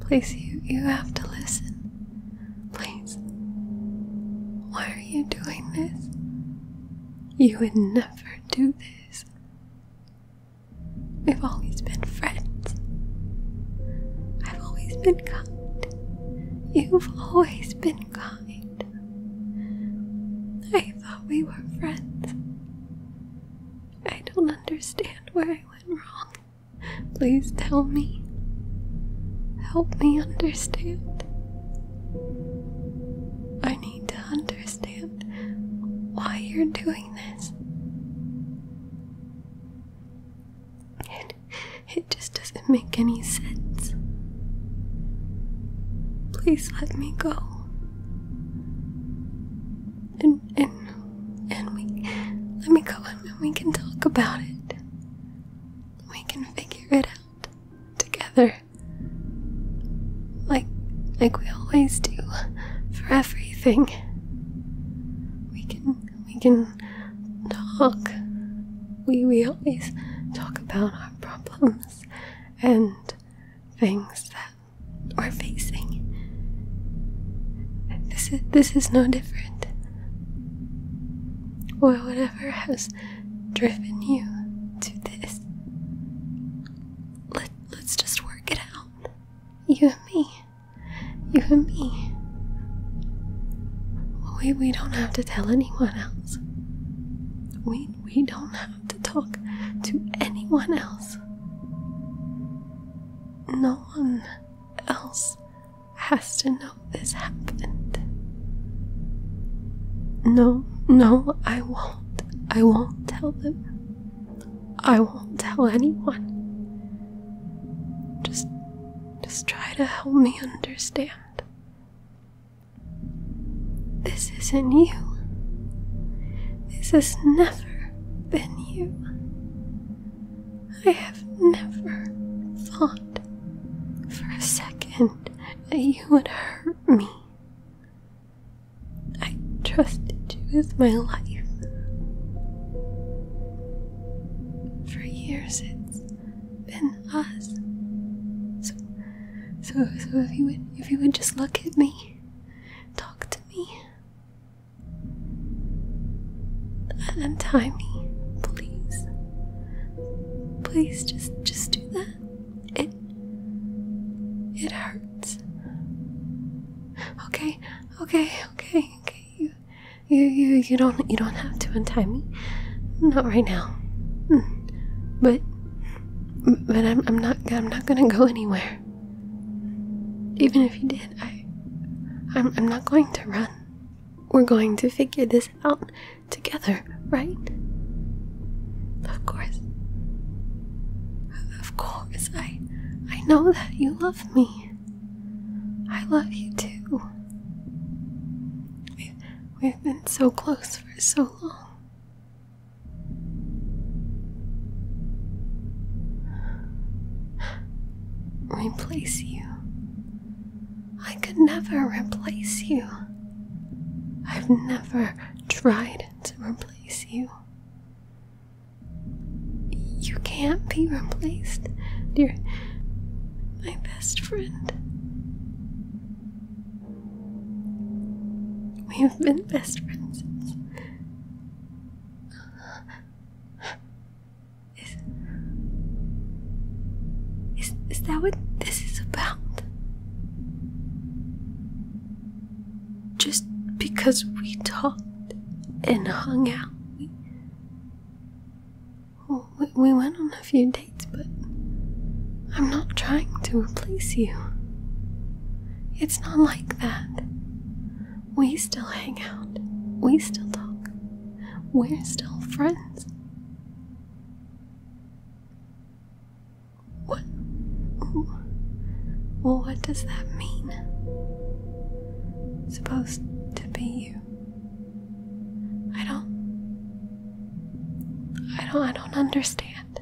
Please, you, you have to listen. Please. Why are you doing this? You would never do this. We've always been friends. I've always been kind. You've always been kind. I thought we were friends. I don't understand where I went wrong. Please tell me. Help me understand. I need to understand why you're doing this. It, it just doesn't make any sense. Please let me go. And and and we let me go and we can talk about it. We can figure it out together. Like like we always do for everything. We can we can talk. We we always talk about our problems and things that we're facing. This is, this is no different. Or whatever has driven you to this. Let, let's just work it out. You and me. You and me. We, we don't have to tell anyone else. We we don't have to talk to anyone else. No one else has to know this happened. No, no, I won't. I won't tell them. I won't tell anyone. Just just try to help me understand. This isn't you. This has never been you. I have never thought for a second that you would hurt me. I trusted you with my life. For years, it's than us. So, so, so if you would, if you would just look at me, talk to me, untie me, please, please, just, just do that. It, it hurts. Okay, okay, okay, okay. You, you, you, you don't, you don't have to untie me. Not right now. Mm. But but I'm I'm not I'm not gonna go anywhere. Even if you did, I I'm I'm not going to run. We're going to figure this out together, right? Of course. Of course, I I know that you love me. I love you too. We've been so close for so long. Replace you. I could never replace you. I've never tried to replace you. You can't be replaced. dear. are best friend. We have been best friends since. Is, is, is that what this is about? Just because we talked and hung out, we went on a few dates, but I'm not trying to replace you. It's not like that. We still hang out, we still talk, we're still friends. What? Well, what does that mean? Supposed to be you. I don't I don't I don't understand.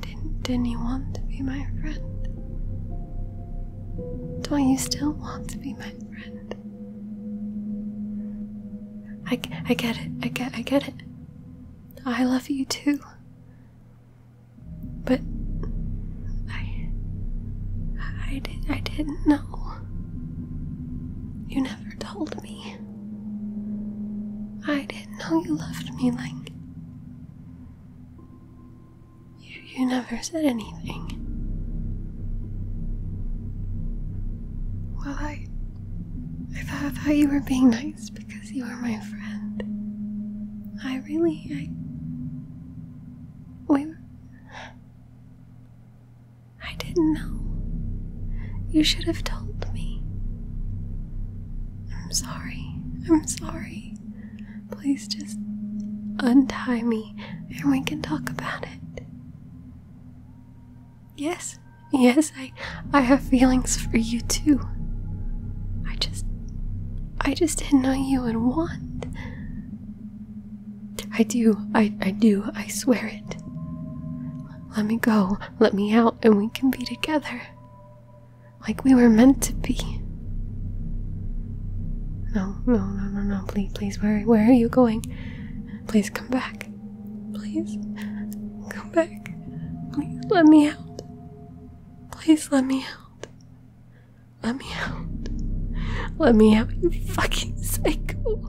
Didn't didn't you want to be my friend? Don't you still want to be my friend? I, I get it. I get I get it. I love you too. But I I did not know. You never told me. I didn't know you loved me like you you never said anything. Well I thought, I thought you were being nice because you were my friend. I really I Women. I didn't know. You should have told me. I'm sorry. I'm sorry. Please just untie me and we can talk about it. Yes, yes, I I have feelings for you too. I just I just didn't know you would want. I do, I, I do, I swear it. Let me go, let me out, and we can be together. Like we were meant to be. No, no, no, no, no, please, please, where, where are you going? Please come back. Please, come back. Please let me out. Please let me out. Let me out. Let me out, you fucking psycho.